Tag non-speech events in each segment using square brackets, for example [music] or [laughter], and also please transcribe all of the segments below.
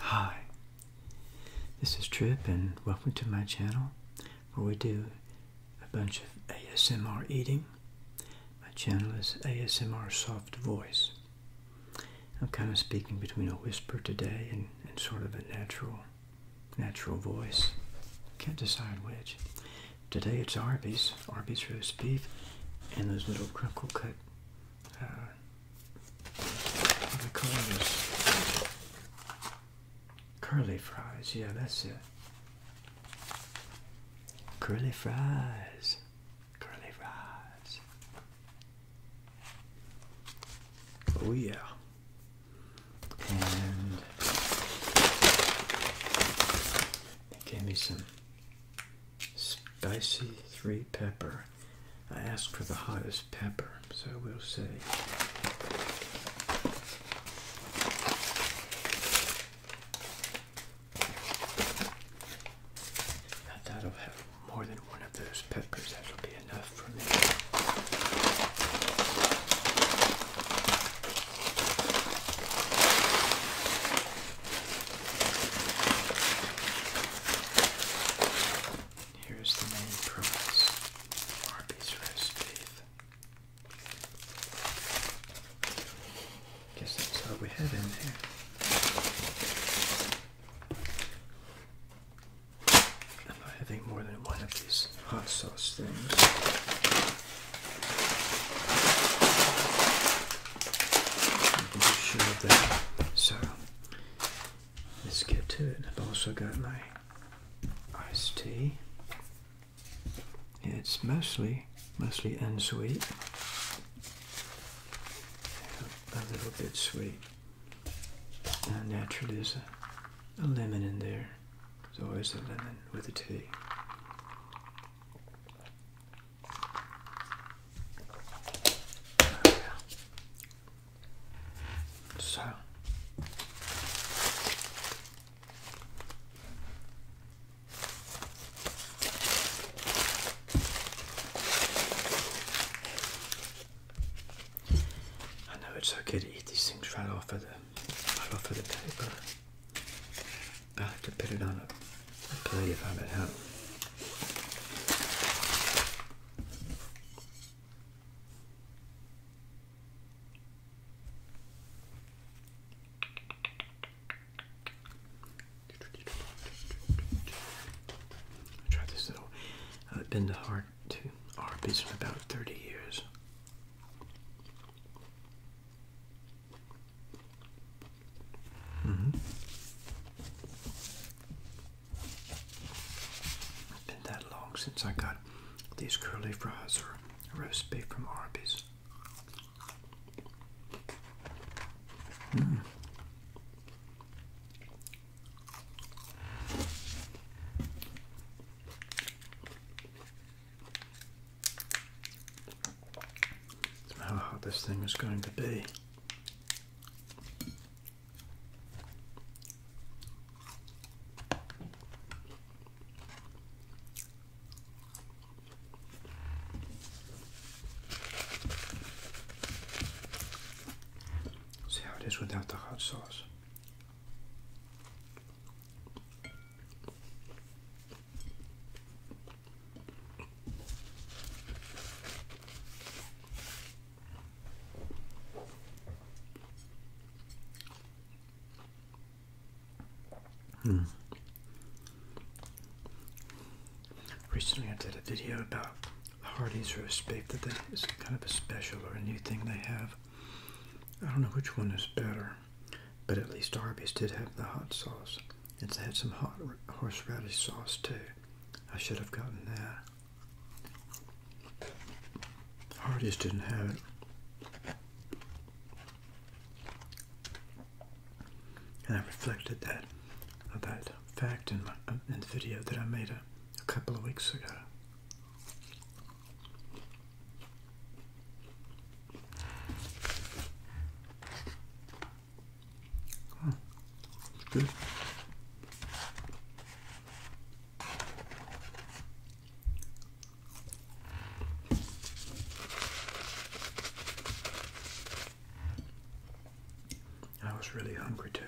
Hi, this is Trip and welcome to my channel where we do a bunch of ASMR eating. My channel is ASMR Soft Voice. I'm kind of speaking between a whisper today and, sort of a natural, natural voice. Can't decide which. Today it's Arby's, Arby's roast beef, and those little crinkle cut uh, the color curly fries. Yeah, that's it. Curly fries. Curly fries. Oh yeah. And gave me some Spicy three pepper. I asked for the hottest pepper, so we'll see. that'll have more than one of those peppers. That'll be enough for me. Here's the main prize Arby's roast beef. Guess that's all we had in there. I'm not having more than one of these hot sauce things. I'm sure of that. So Let's get to it. I've also got my iced tea. it's mostly, mostly unsweet. A little bit sweet. naturally there's a, a lemon in there. There's always a lemon with a tea so I know it's okay to eat these things right off of the right off of the paper, but I have to put it on a plenty of habit help. I tried this though. I've been to hard to Arby's for about 30 years. Mm-hmm. It's been that long since I got these curly fries or roast beef from Arby's. Mm. How hot this thing is going to be. See how it is without the hot sauce. Hmm. Recently, I did a video about Hardee's roast beef. That they, it's kind of a special or a new thing they have. I don't know which one is better, but at least Arby's did have the hot sauce. It's had some hot horseradish sauce too. I should have gotten that. I Hardy's didn't have it. And I reflected that that fact in, my, uh, in the video that I made a couple of weeks ago. I was really hungry too.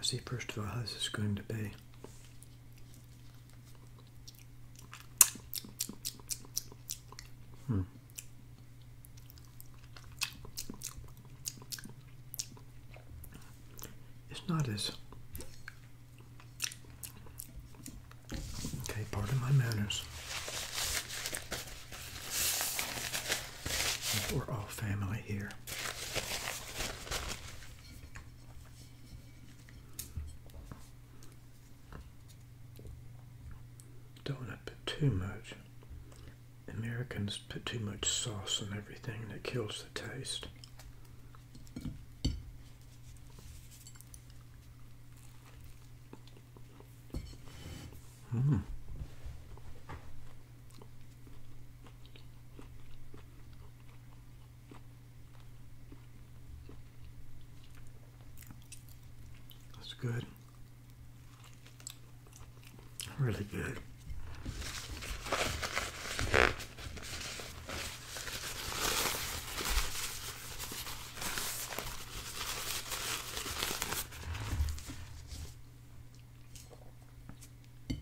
See, first of all, how's this going to be? Hmm. It's not as. Okay, pardon my manners. We're all family here. Don't want to put too much. Americans put too much sauce on everything that kills the taste. Mm. That's good. Really good. I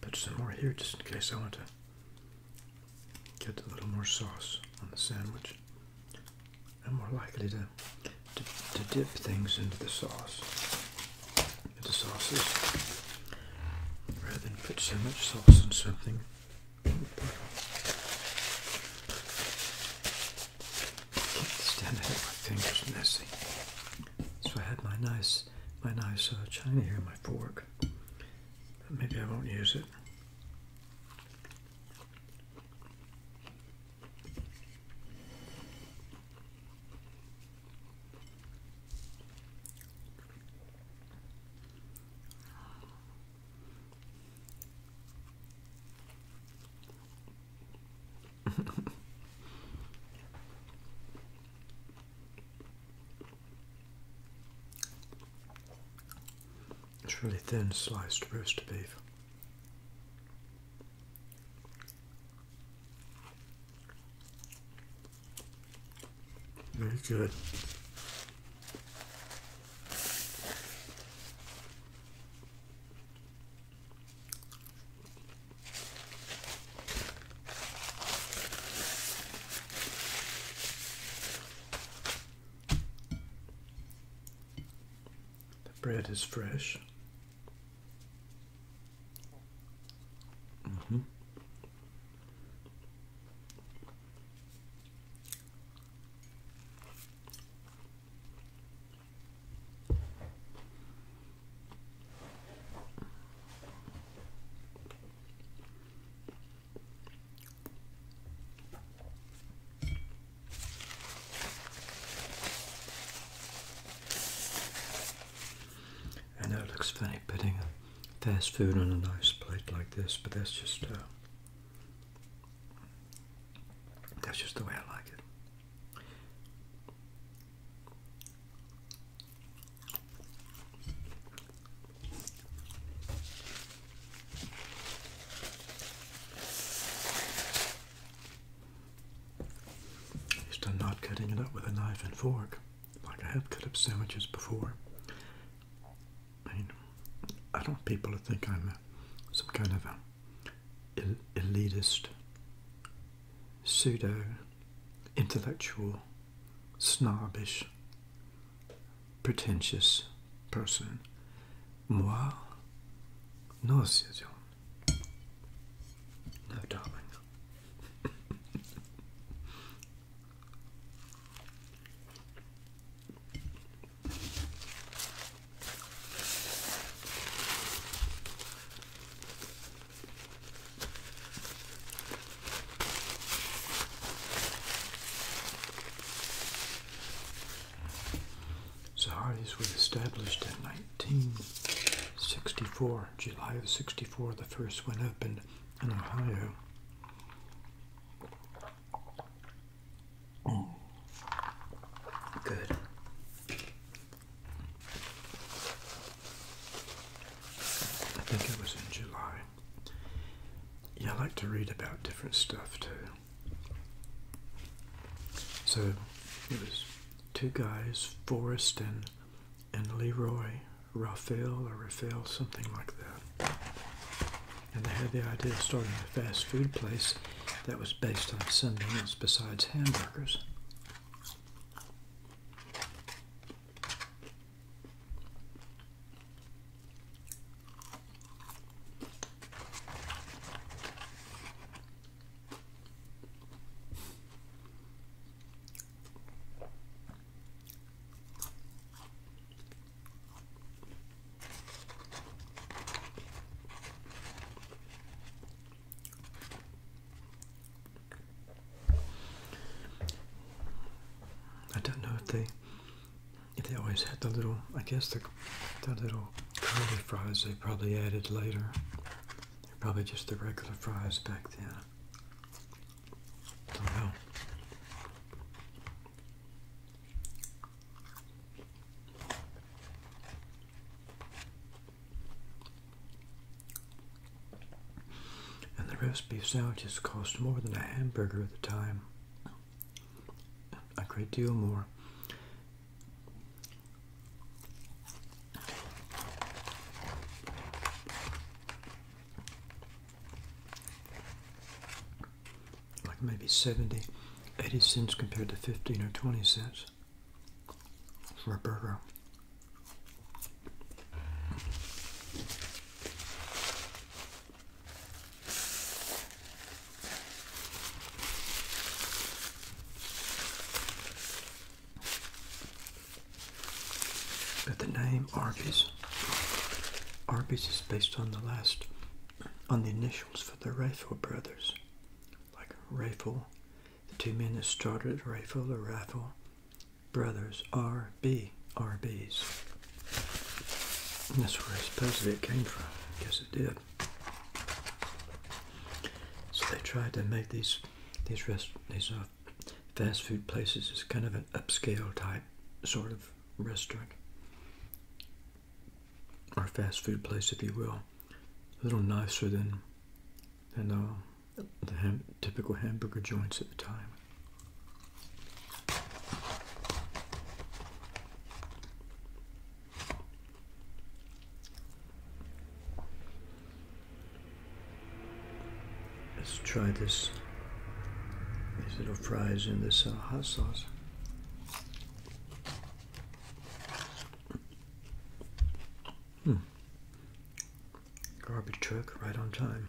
put some more here just in case I want to get a little more sauce on the sandwich. I'm more likely to, to, dip things into the sauce, into sauces, rather than put so much sauce on something can't stand it. My fingers are messy. So I had my nice, my nice uh, china here, my fork. But maybe I won't use it. [laughs] it's really thin sliced roast beef. Very good. The bread is fresh. Mm -hmm. I know it looks funny putting fast food on a nice plate like this, but that's just uh, that's just the way I like it. Just I'm not cutting it up with a knife and fork, like I have cut up sandwiches before. I I don't want people to think I'm some kind of a elitist, pseudo intellectual, snobbish, pretentious person. Moi, no, Susan. No, darling. [laughs] So Hardy's was established in 1964, July of 64, the first one opened in Ohio. Good. I think it was in July. Yeah, I like to read about different stuff too. So it was two guys, Forrest and, and Leroy, Rafael or Rafael something like that. And they had the idea of starting a fast food place that was based on something else besides hamburgers. I don't know if they if they always had the little I guess the the little curly fries they probably added later. probably just the regular fries back then. I don't know. And the roast beef sandwiches cost more than a hamburger at the time. A great deal more. Like maybe 70, 80 cents compared to 15 or 20 cents for a burger. But the name Arby's, Arby's is based on the last, on the initials for the Rayfield brothers, like Raffle, the two men that started Raffle or Raffle Brothers, RB, RBs. that's where supposedly it came from. I guess it did. So they tried to make these these rest these uh, fast food places as kind of an upscale type sort of restaurant or fast food place, if you will. A little nicer than than uh, the typical hamburger joints at the time. Let's try this these little fries in this uh, hot sauce. Hmm. Garbage truck right on time.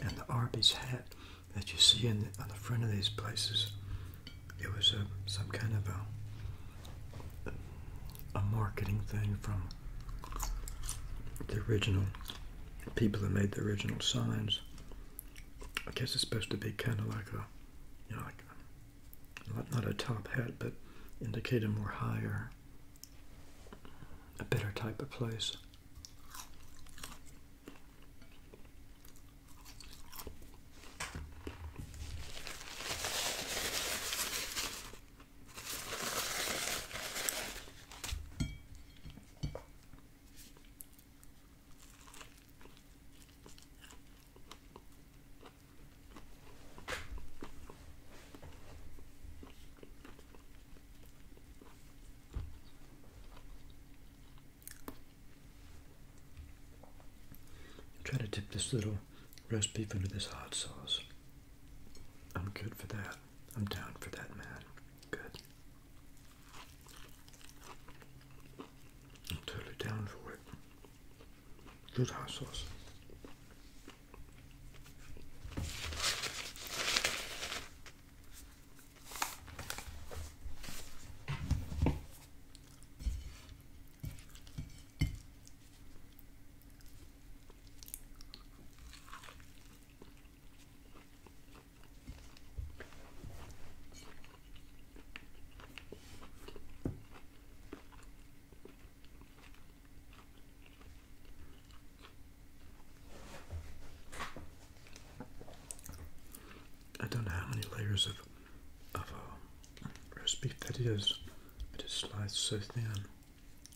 and the Arby's hat that you see on the front of these places, it was uh, some kind of a marketing thing from the original people that made the original signs. I guess it's supposed to be kind of like a, you know, like not a top hat, but indicate a more higher, a better type of place. Try to dip this little roast beef into this hot sauce. I'm good for that. I'm down for that, man. Good. I'm totally down for it. Good hot I don't know how many layers of of roast beef that is, but it's sliced so thin.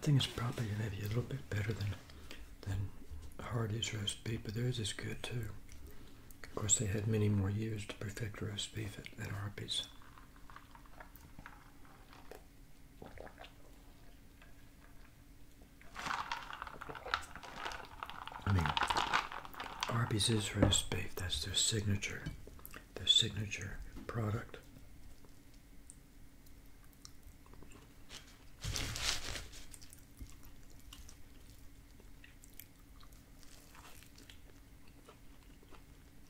I think it's probably maybe a little bit better than than Hardy's roast beef, but theirs is good too. Of course, they had many more years to perfect roast beef at, at I mean, Arby's is roast beef. That's their signature, their signature product.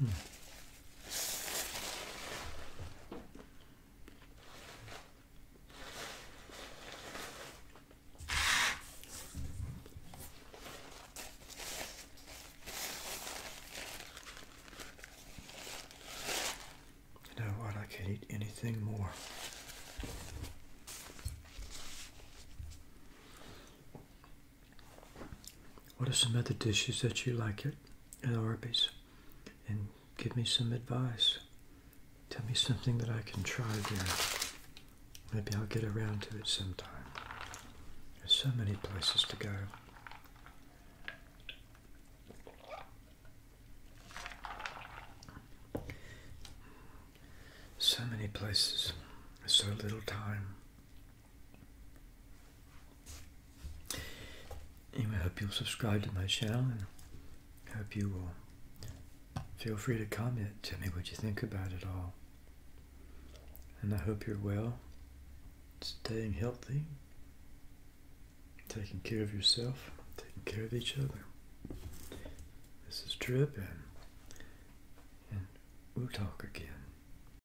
You know what? I can't eat anything more. What are some other dishes that you like at, at Arby's? And give me some advice. Tell me something that I can try there. Maybe I'll get around to it sometime. There's so many places to go. So many places, so little time. Anyway, I hope you'll subscribe to my channel and I hope you will feel free to comment. to me what you think about it all. And I hope you're well, staying healthy, taking care of yourself, taking care of each other. This is Trip and we'll talk again.